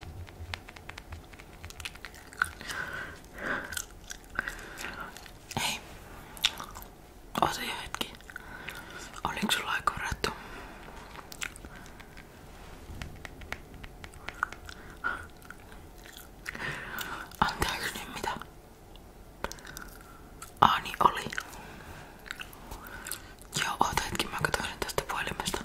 Hei, oota jo hetki. Oliks sulla aika varattu? Anteeksi nyt mitä? Aani oli. Joo, oota hetki, mä katsoin tästä puhelimesta.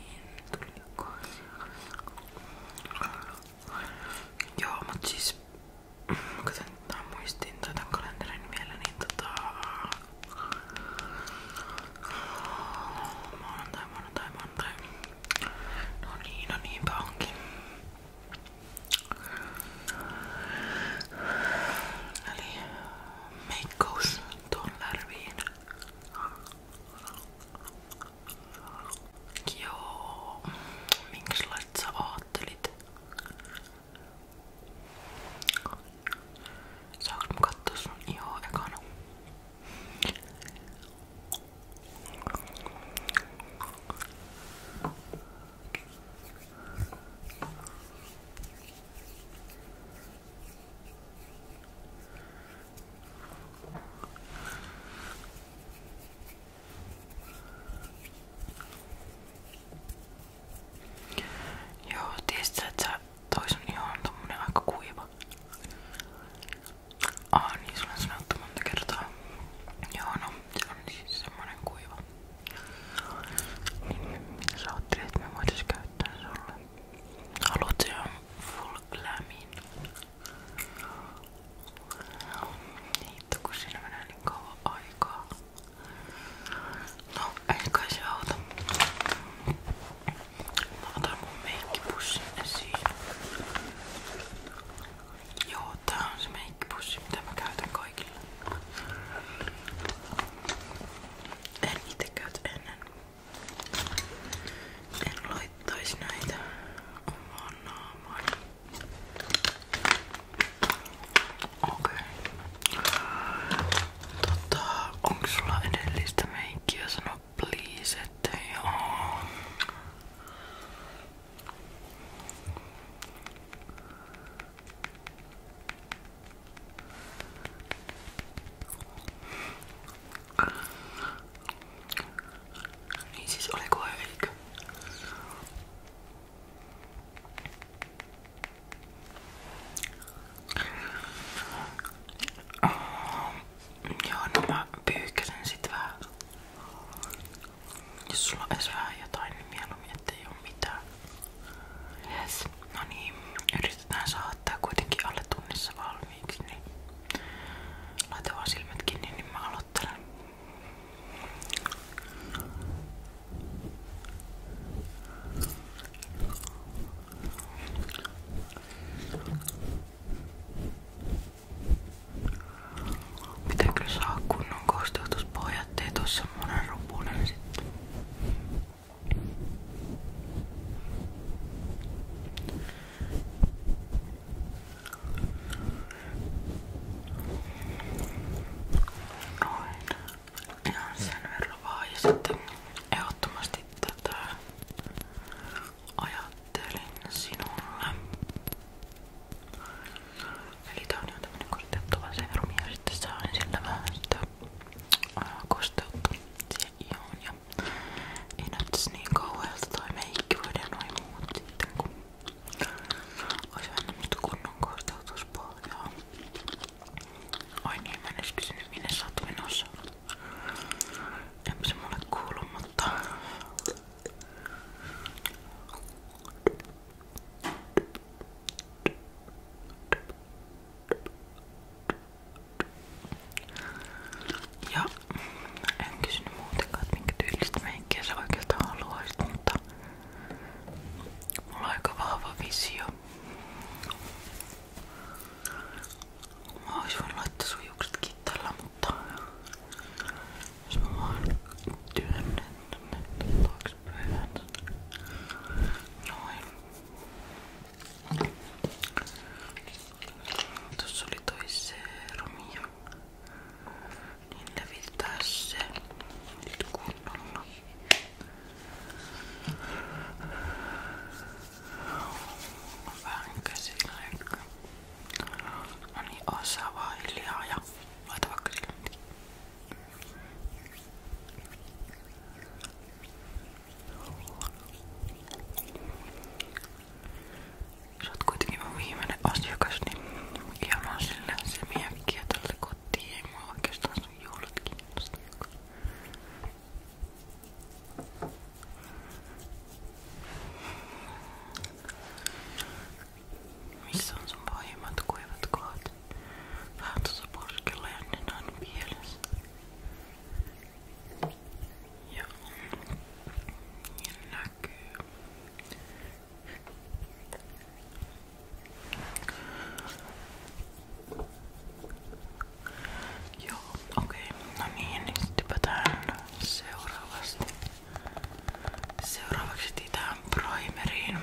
Niin, Joo, mut siis mä katson tää muistin tätä kalenterin vielä, niin tota... Maanantai, maanantai, maanantai. No niin, no niinpä onkin. Eli meikkaus tuon lärviin. Joo, minkälaiset sä ajattelit? Saanko mä kattoo sun ihoa ekana? Joo, tiesit että on tommonen kuiva. Aa, niin sulla on kertaa. Joo, no, se on siis semmonen kuiva. Niin, mitä sä ottelet, että me voitais käyttää Fulglamin. Hitto kun siinä menee niin kauan aikaa. No, ei kai se auta. Mä otan mun meikkipussin esiin. Joo, tää on se meikkipussi, mitä mä käytän kaikille. En itse käytä ennen. En laittaisi näitä omaan naamaan. Okei. Okay. Tota, onko sulla edellistä meikkiä sano please, että joo. Niin siis oliko eikö? joo, no mä pyyhkäsen sit Jos sulla on edes vähän jotain, niin Yes. No niin, yritetään saada ottaa kuitenkin alle tunnissa valmiiksi, niin laita vaan silmät kiinni, niin mä aloittelen. Pitää kyllä saa kunnon kosteutuspohjat, ei tuu semmonen ropunen sitten. Noin. Ihan sen verran vaan. Ja sitten ehdottomasti tätä ajattelin sinulle. Eli tää on ihan tämmönen kosteuttava serum ja sitten saan sillä vähän sitä kosteutta siihen ihoon ja ei näyttäisi niin kauhealta toi meikki voidaan noin muut sitten kun olisi annettu kunnon kortautuspohjaa. Ai niin, mä en edes kysynyt minne sä oot menossa. Enpä se mulle kuulu, mutta... Ja en kysynyt muutenkaan, että minkä tyylistä meikkiä sä oikeastaan haluaisit, mutta mulla on aika vahva visio. Mä ois voinut laittaa sun juukset kittalla, mutta jos mä vaan työnnän tänne taaksepäin. Noin. Tuossa oli toi seerumi ja niin levittää se nyt kunnolla. Vähän käsillä ehkä. No niin, osaa vaan hiljaa ja laita vaikka sille. Sä oot kuitenkin mun viimeinen asiakas, niin ilman sille se miekkiä tälle kotiin. Ei mua oikeastaan sun juhlat kiinnosta. Missä on sun pahimmat kuivat kohdat? Vähän tuossa porskella ja nenän pielessä. Ja, ja näkyy. Joo, okei. Okay. No niin, niin sitten hypätään seuraavasti. Seuraavaksi tähän primeriin.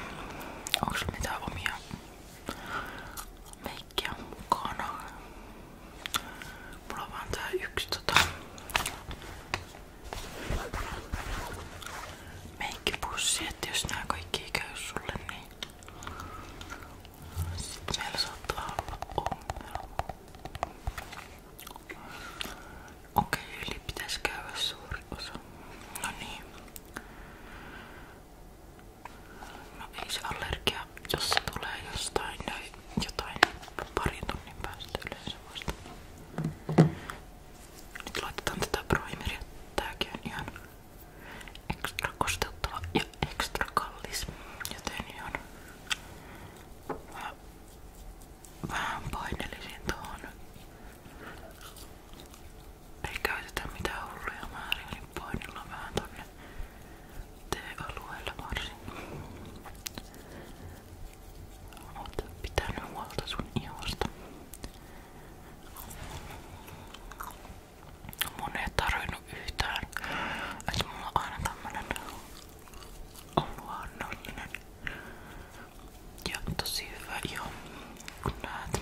Onko sulla mitään omia? Me kaikkia mukana. Mulla on vaan tää yksi tota meikkipussi, että jos nää kaikki käy sulle, niin sit meillä saattaa olla ongelma. Okei, okay, yli pitäis käydä suuri osa. No niin. No ei se allergia, jos se tulee jostain tai jotain parin tunnin päästä yleensä vasta. Nyt laitetaan tätä primeria. Tääkin on ihan ekstra kosteuttava ja ekstra kallis, joten ihan vähän, vähän painelisin tuohon. Ei käytetä mitään hulluja määriä, niin painellaan vähän tonne työalueella varsin. Oot pitänyt huolta sun ihosta. Mun ei tarvinnut yhtään, että mulla on aina tämmönen on luonnollinen ja tosi hyvä iho, kun näet.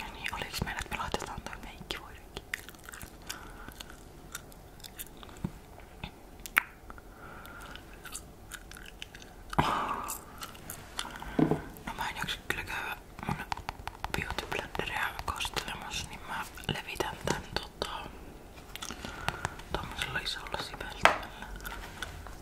Ja niin, oliks meillä, että me laitetaan toi meikki voidenkin? No mä en jaksa kyllä käydä mun beautyblenderiä kastelemassa, niin mä levitän tän tota tommosella isolla siveltimellä.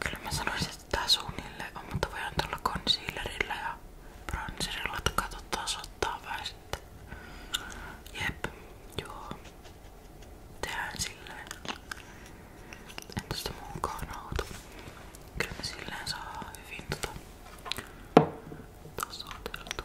Kyllä mä sanoisin, että tää suunnilleen on, mutta voidaan tulla concealerilla ja bronzerilla, että katsotaan ottaa vähän sitten. Jep, joo. Tehdään silleen. Entäs sitä mukaan auto? Kyllä me silleen saa hyvin tota tasoiteltu.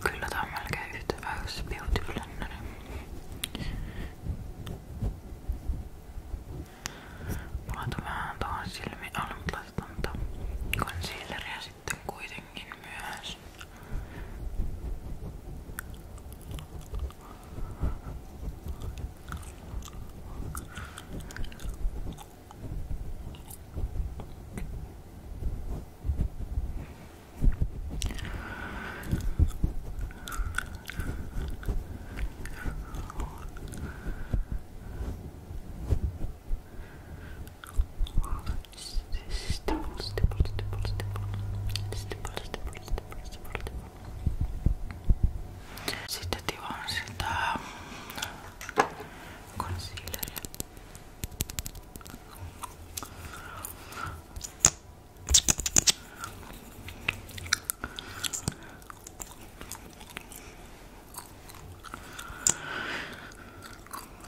Kyllä tää on melkein yhtä hyvä kuin se Beauty Blenderi. Mä laitan vähän tuohon silmiin alle, mutta laitetaan tätä concealeria sitten kuitenkin myös. Okei, Stipple, stipple, stipple, stipple. Stipple, stipple, stipple, stipple. Sitten tivaan sitä concealeria.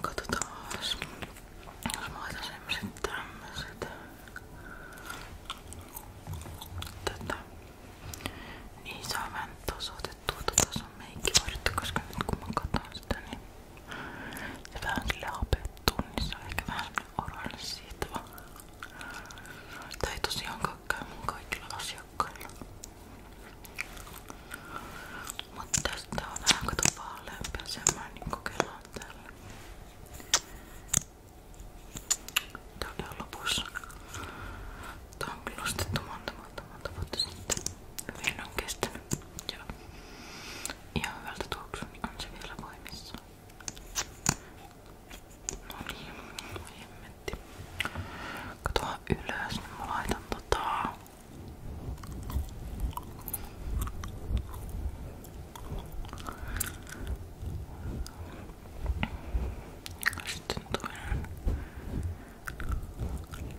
Katsotaas. Jos mä laitan semmoset tämmöset. Tätä. Niin saa vähän tasoitettua tota sun meikkivartta, koska nyt kun mä katon sitä, niin se vähän sille hapettuu, niin se on ehkä vähän oranssiitava. Tää ei tosiaankaan käy mun kaikilla asiakkailla. Mutta tästä on vähän kato vaaleampi ja semmoinen, niin kokeillaan täällä. Tää oli jo lopussa. Tää on kyllä ostettu monta monta monta vuotta sitten. Hyvin on kestänyt. Ja ihan hyvältä tuoksu, niin on se vielä voimissa. No niin, hemmetti. Katoa ylös, niin mä laitan tota... Sitten toinen.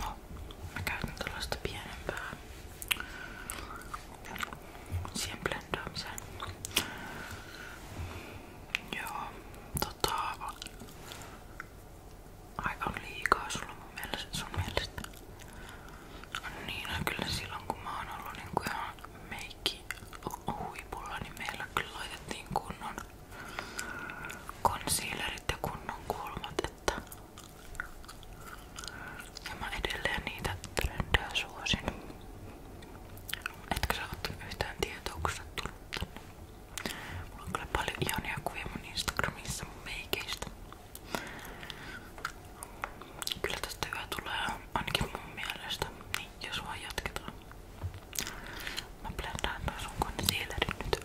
No, mä käytän tällaista pienempää siihen blendaamiseen. Joo, tota... Aika on liikaa sulla mun mielestä, sun mielestä. Niin, kyllä silloin kun mä oon ollut niin kuin ihan meikki huipulla, niin meillä kyllä laitettiin kunnon concealerit ja kunnon kulmat, että ja mä edelleen niitä trendejä suosin. Etkö sä ottanut yhtään tietoa, kun sä tullut tänne? Mulla on kyllä paljon ihania kuvia mun Instagramissa mun meikeistä. Kyllä tästä hyvä tulee, ainakin mun mielestä. Niin, jos vaan jatketaan. Mä blendaan toi sun concealerin nyt.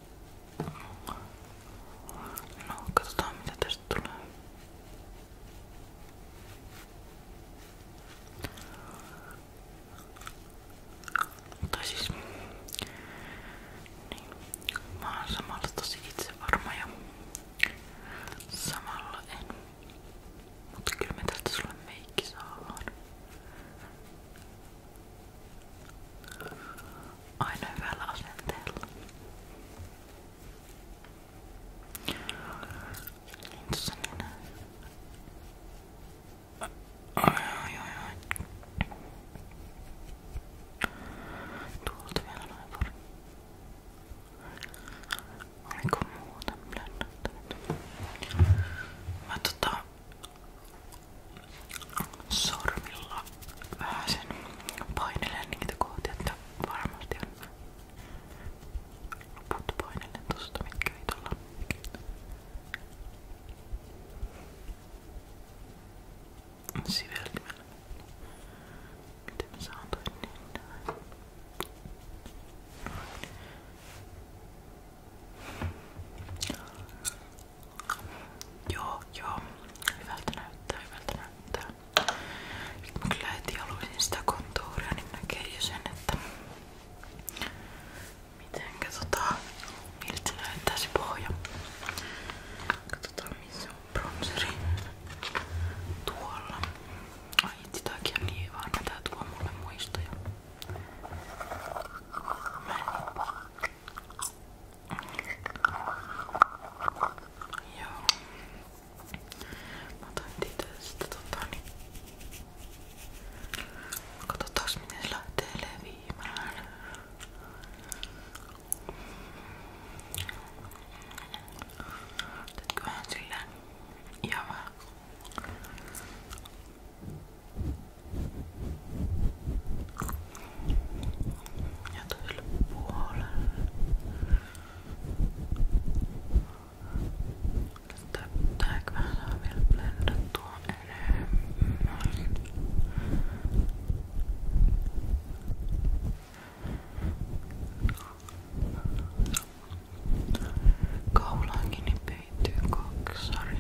No, katsotaan mitä tästä tulee. Tai siis, niin, mä oon samalla tosi itsevarma ja samalla en. Mutta kyllä me tästä sulle meikki saadaan. aina hyvällä asenteella. Niin tossa niin. Ai, ai, ai, ai. Tuolta vielä noin pari. Oliko muuta blönnättänyt? Mä tota... Sormilla vähän sen painelen niitä kohti, että varmasti on loput painelen tosta, mitkä ei tulla. Siveltimellä. Miten mä saan toi niin näin? Joo, joo. Hyvältä näyttää, hyvältä näyttää. Nyt mä kyllä heti haluaisin sitä kontuuria, niin näkee jo sen, että mitenkä tota, miltä näyttää se pohja. Katsotaan missä on bronzeri. Tuolla. Ai itse takia niin vaan, tää tuo mulle muistoja. Mä en Joo. Mä otan niitä sitten tota niin. Katsotaanko miten se lähtee leviämään. Tätkö vähän silleen ihan vähän. Joo ja toiselle puolelle. Tääkö mä saa vielä blendattua enemmän? Kaulaankin peittyy koksari.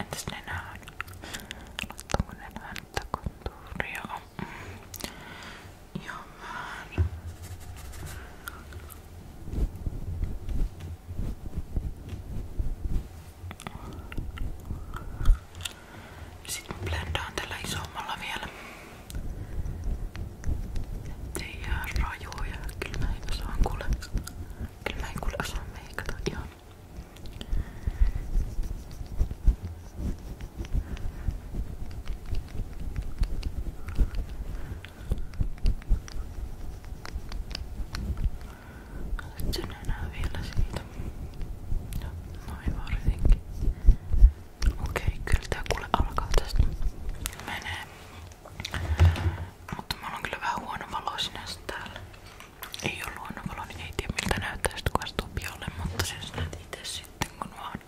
Entäs nenään? Laittaanko nenään tätä kontuuria? Ihan määrä. Sitten blendaan tällä isommalla vielä. Ei ihan rajoja, kyllä mä en osaan kuule. Kyllä mä en kuule osaa meikata ihan. Olet sen enää vielä siitä. Ja noin varsinkin. Okei, kyllä tää kuule alkaa Mutta mulla on kyllä vähän huono valo sinänsä Ei oo huono niin ei tiedä miltä näyttää sit kun astuu pialle, sitten kun vaan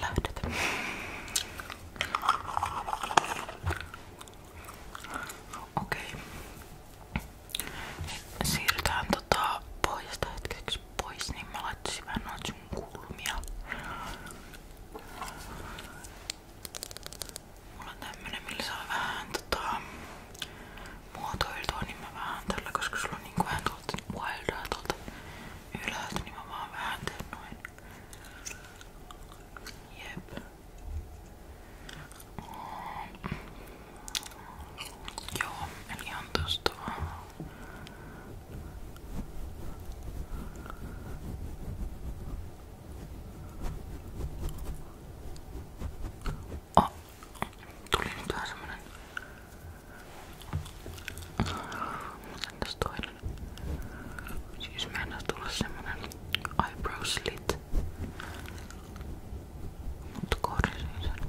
lähdet. Okei. Siirrytään tota pohjasta hetkeksi pois, niin mä laittaisin vähän kulmia. Mulla on tämmönen, millä saa vähän tota, muotoiltua, niin mä vähän tällä, koska sulla on niinku vähän tuolta wildaa tuolta ylhäältä, niin mä vaan vähän teen noin. Jep. Joo, eli ihan tosta vaan. Oh, tuli nyt vähän semmonen. Entäs toinen? Siis mä en tulla semmonen eyebrow slit. Mut korjasin sen.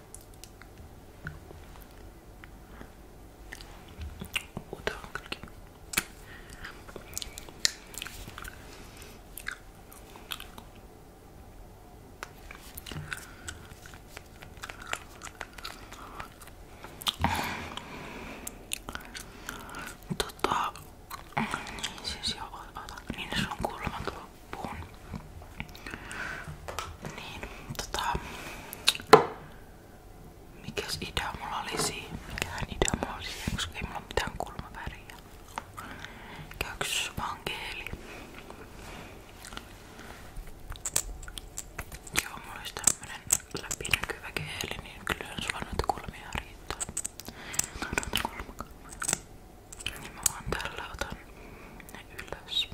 Uda kylki. Tota, niin siis joo, ota, niin se on kuulemma tuo puun niin, tota... Mikäs idea mulla oli siinä? Mikähän idea mulla oli siinä, koska ei mulla mitään kulmaväriä. Käyks vankeeli? Joo, mulla olisi tämmönen läpinäkyvä keeli, niin kyllähän sulla noita kulmia riittää. Noita kulmakulmia. Niin mä vaan tällä otan ne ylös.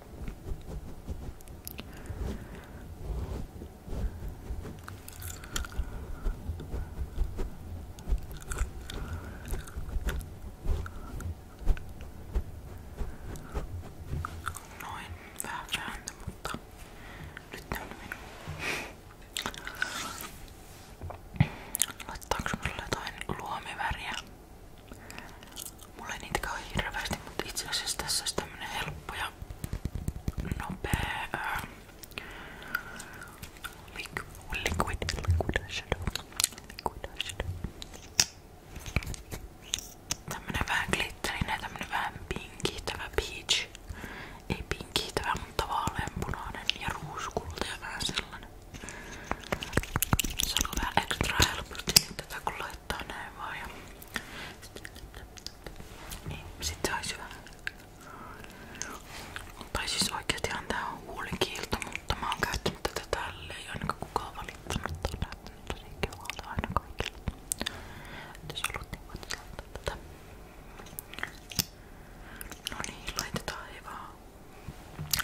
Noin, vähän vääntö, mutta nyt ne on minun. Laittaanko mulle jotain luomiväriä? Mulla ei niitä kauhean hirveästi, mutta itse asiassa tässä olisi tämmönen helppo ja nopea ää, ähm, liquid, liquid, liquid shadow. Liquid shadow. Tämmönen vähän glitterinen ja tämmönen vähän pinkiitävä peach. Ei pinkiitävä, mutta vaaleanpunainen ja ruuskulta ja vähän sellainen. Se on vähän ekstra helposti nyt tätä kun kattoa näin vaan ja niin sit se ois hyvä. Tai siis oikeestihan tää on huulikiilto, mutta mä oon käyttänyt tätä tälle, ei ainakaan kukaan valittanut. Tää on näyttänyt tosi kivalta aina kaikille. Et jos haluat niin voit laittaa tätä. No niin, laitetaan ei vaan.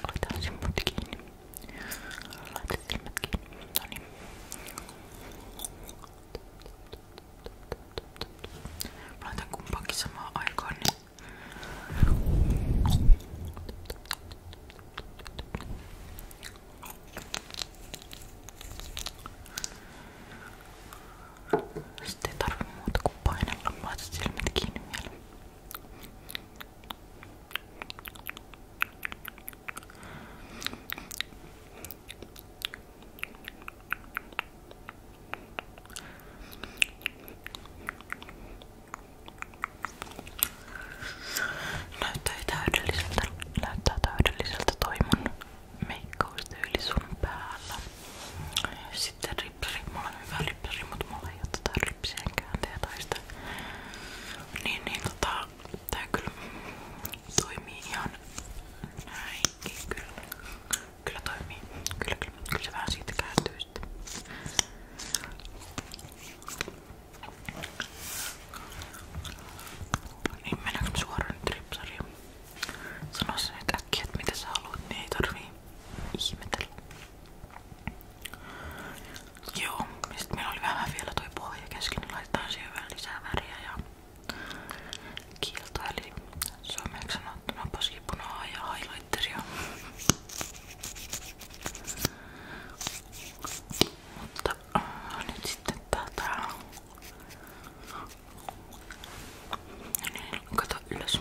Laitetaan silmät kiinni. Laitetaan silmät kiinni. No niin. Mä laitan kumpaankin samaan aikaan, niin... Sitten ei tarvi muuta kuin painella. Mä laitan silmät kiinni vielä. Näyttää täydelliseltä, näyttää täydelliseltä toi mun meikkaustyyli sun päällä. Sitten ripseri, mulla on hyvä ripseri, mutta mulla ei oo tätä tota ripsien käänteä tai sitä. Niin, niin tota, tää kyllä Toimii ihan kyllä. toimii. Kyllä, kyllä. Kyllä se siitä kääntyy sitten. Niin suoraan nyt ripsariin? sen nyt äkkiä, että mitä sä niin ei tarvii ihmetellä. Joo, Joo, sitten meillä oli vähän vielä toi pohja kesken, niin laitetaan siihen vähän lisää väriä ja kiiltoa, eli suomeksi sanottuna pasipunaa ja highlighteria. Mutta äh, nyt sitten tätä... No niin, kato ylös.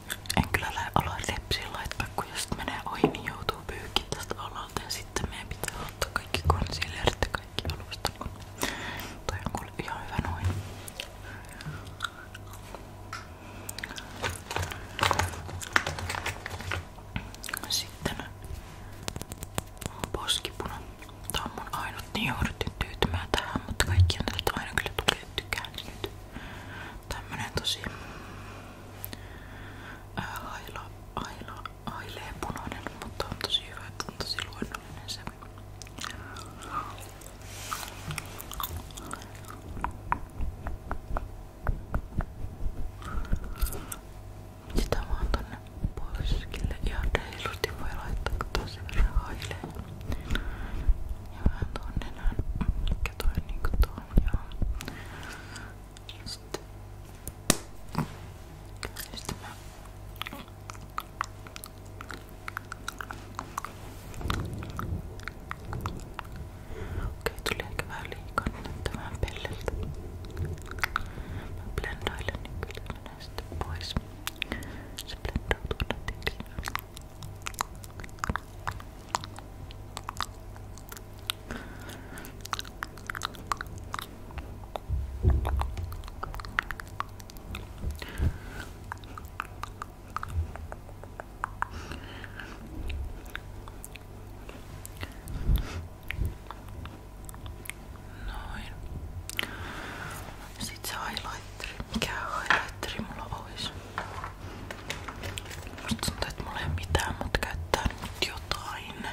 En kyllä ala lepsiin laittaa, kun jos menee ohi, niin joutuu pyykin tästä alalta ja sitten meidän pitää ottaa kaikki concealerit ja kaikki alusta. Toi on kuule ihan hyvä noin. Sitten poskipuna. Tää on mun ainut, niin jouduttiin tyytymään tähän, mutta kaikki on tätä aina kyllä tukee, tykkää nyt. Tämmönen tosi ää, aila, aila, aileen punainen, mutta on tosi hyvä, että on tosi luonnollinen se. Sitä vaan tonne poskille ihan reilusti voi laittaa tosi verran haileen. Ja vähän tuon nenän, mikä toi niinku tuon, joo. Sitten. Sitten mä... Okei, tuli ehkä vähän liikaa näyttää vähän pelleltä. Mä blendailen, niin kyllä menee sitten pois. Se blendautuu nätikseen. Noin. Sitten se highlighteri. Mikä highlighteri mulla olisi? Musta tuntuu, että mulla ei ole mitään, mutta käyttää nyt jotain.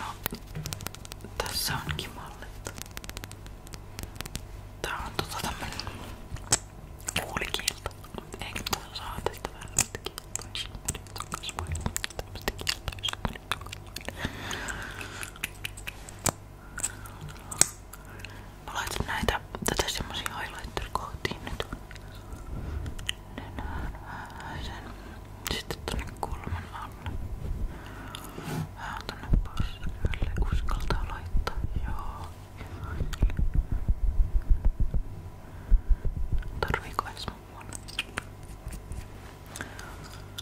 No, tässä onkin mallet. Tää on tota tämmönen kuulikielto. Eikö tuossa saa tästä vähän näitä kieltoisia? Nyt on kasvoja tämmöstä kieltoisia. Mä laitan näitä, tätä semmosia highlighter-kohtiin nyt. Sen. Sitten tonne kulman alle. Vähän tonne passylle uskaltaa laittaa. Joo. Tarviiko edes mun?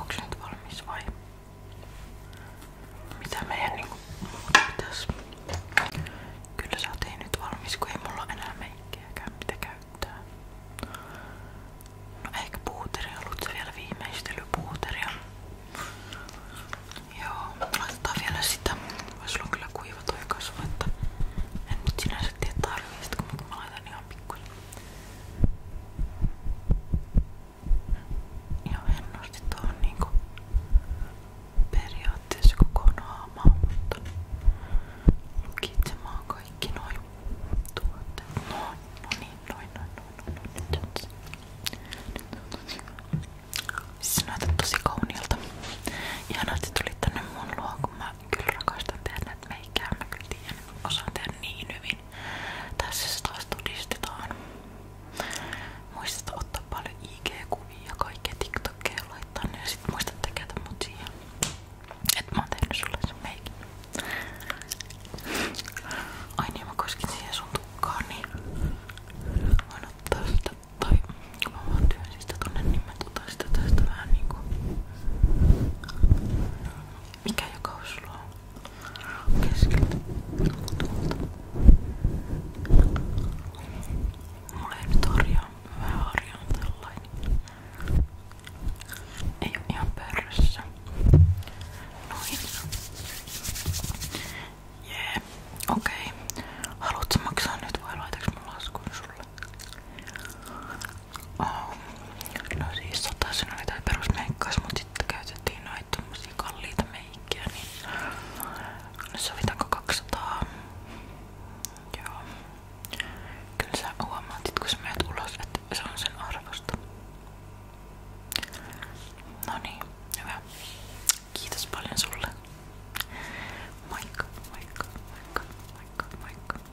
Oksent valmis vai? Mitä meidän niinku pitäis? Kyllä sä oot nyt valmis, kun ei mulla enää meikkiä mitä käyttää. No ehkä puuteria, ollut se vielä viimeistelypuuteria. Joo, laitetaan vielä sitä. Vois olla kyllä kuiva toi kasvo, että en nyt sinänsä tiedä kun mä laitan ihan pikkuisen. ja hennosti tuohon niinku periaatteessa koko naamaa, mutta lukitsemaan kaikki noin tuotteet. Noin, no niin, noin, noin, noin, noin, nyt on se. Siis näytät tosi kauniilta. Ihanaa, että tulit tänne mun luo, kun mä kyllä rakastan tehdä näitä meikkejä. Mä kyllä tiedän, osaan tehdä niin hyvin niin tässä se taas todistetaan. Muista ottaa paljon IG-kuvia ja kaikkea TikTokia laittaa ne ja sit muista tekeä mut siihen. Et mä oon tehnyt sulle sen meikin. Ai niin mä koskin siihen sun tukkaan niin voin ottaa sitä tai kun mä vaan työn sitä tonne niin mä otan sitä tästä vähän niinku mikä joka sulla on? Keskeltä. Tuolta. Mulla ei nyt harjaa. Mä harjaan tällainen. Ei oo ihan pörrössä. Noin. Jee. Yeah. Okei. Okay. Haluatko maksaa nyt vai laitaks mun laskun sulle? Oh. No siis sotaisen oli tää perusmeikkaus, mut sitten käytettiin noita tommosia kalliita meikkiä, niin no sovitaanko 200? Joo. Kyllä sä huomaat, kun sä menet ulos, että se on sen arvosta. No niin, hyvä. Kiitos paljon sulle. Moikka, moikka, moikka, moikka, moikka.